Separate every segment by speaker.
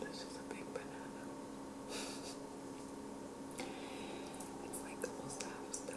Speaker 1: This is a big banana. it's like almost half still.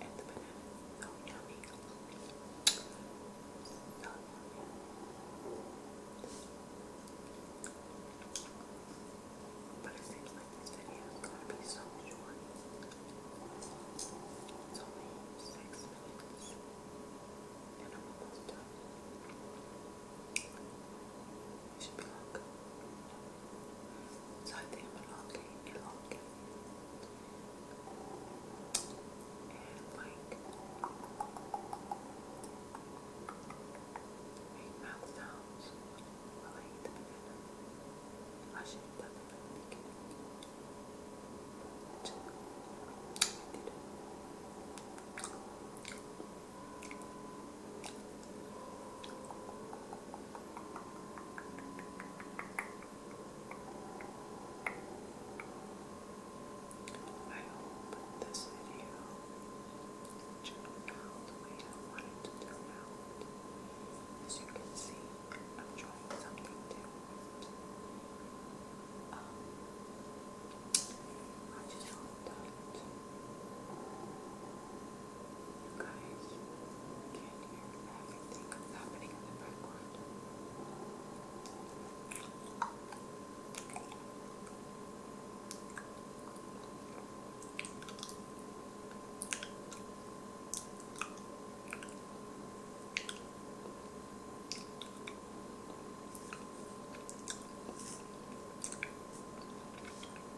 Speaker 1: and the But it seems like this video is going to be so short. It's only six minutes. And I'm almost done. It should be longer. So I think I'm elongating, elongating and like make mouth sounds while I eat the banana. I should have done that from the beginning. But I did it. I I hope this video showed out the way I wanted to turn out. As you can see, I'm trying something different. I just hope that you guys can't hear everything that's happening in the background. I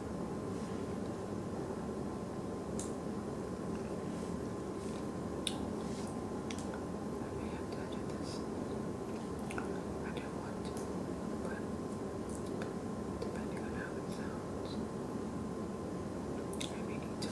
Speaker 1: I don't want to, but depending on how it sounds, I may need to.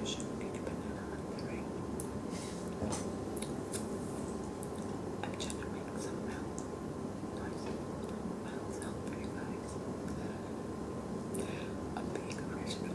Speaker 1: You should eat a banana on I'm trying to make some milk. noise. Mouth sound for you I'm being original.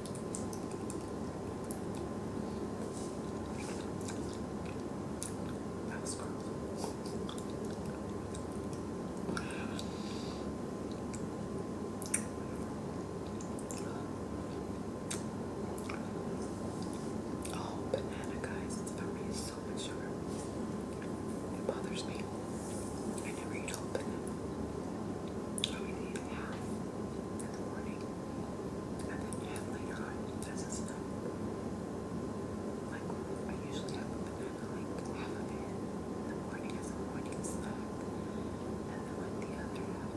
Speaker 1: That was gross. Oh, banana, guys. It's so much sugar. It bothers me. I never eat whole oh, banana half in the morning, and then half later on as a snack. Like I usually have a banana, like half of it in the morning as a morning snack, and then like the other half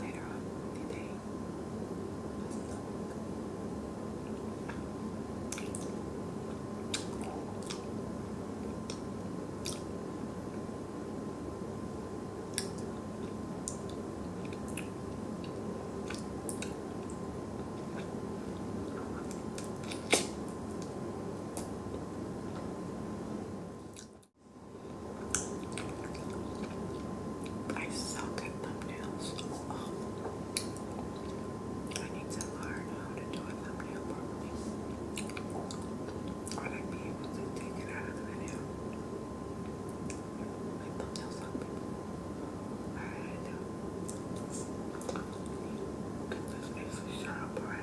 Speaker 1: later on the day I suck at thumbnails. Oh, oh. I need to learn how to do a thumbnail properly. I like be able to take it out of the video. My thumbnails look people. I had to get this extra sharp right.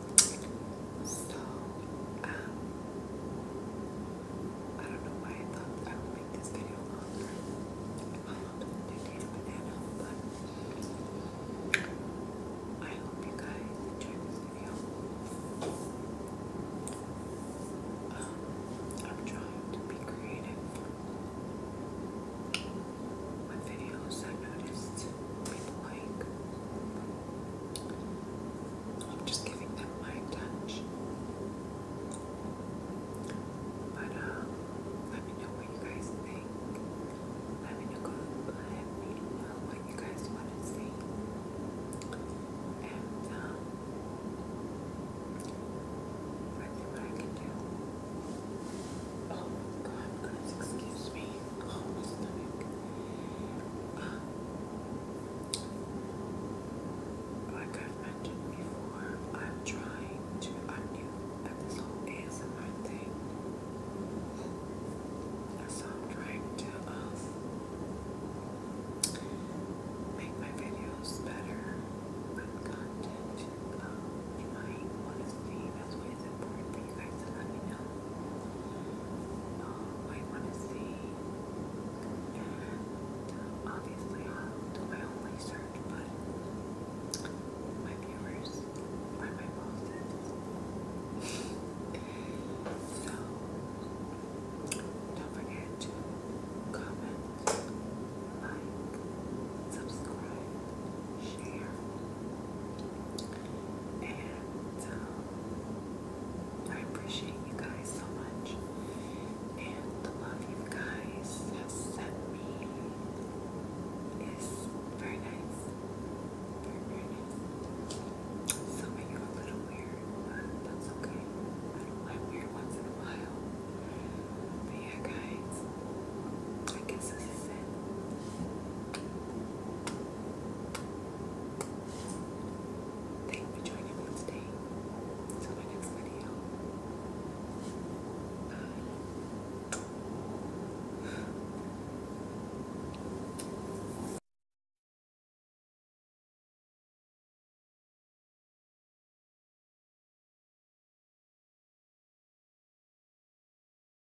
Speaker 1: So, um, I don't know why I thought I would make this video longer. I hope you did a banana, but I hope you guys enjoyed this video. Um, I'm trying to be creative. with videos I noticed people like. I'm just giving them my touch. But uh, let me know what you guys think. Let me know, what you guys want to see. And um, I think what I can do. Oh God, guys, excuse me like I've mentioned before, I'm trying to I'm new at this whole ASMR thing. So I'm trying to make my videos better with content. Um, trying honesty, that's what is important you guys to let me know um, you want to see. obviously, my own research, but my viewers are my bosses. so, don't forget to comment, like, subscribe, share. And um, I appreciate you guys so much. And the love you guys have sent me is very nice. Very, very nice. a little weird, but that's okay. I do weird once in a while. But yeah, guys, I guess this it. Thank you for joining me today. Until my next video. Bye.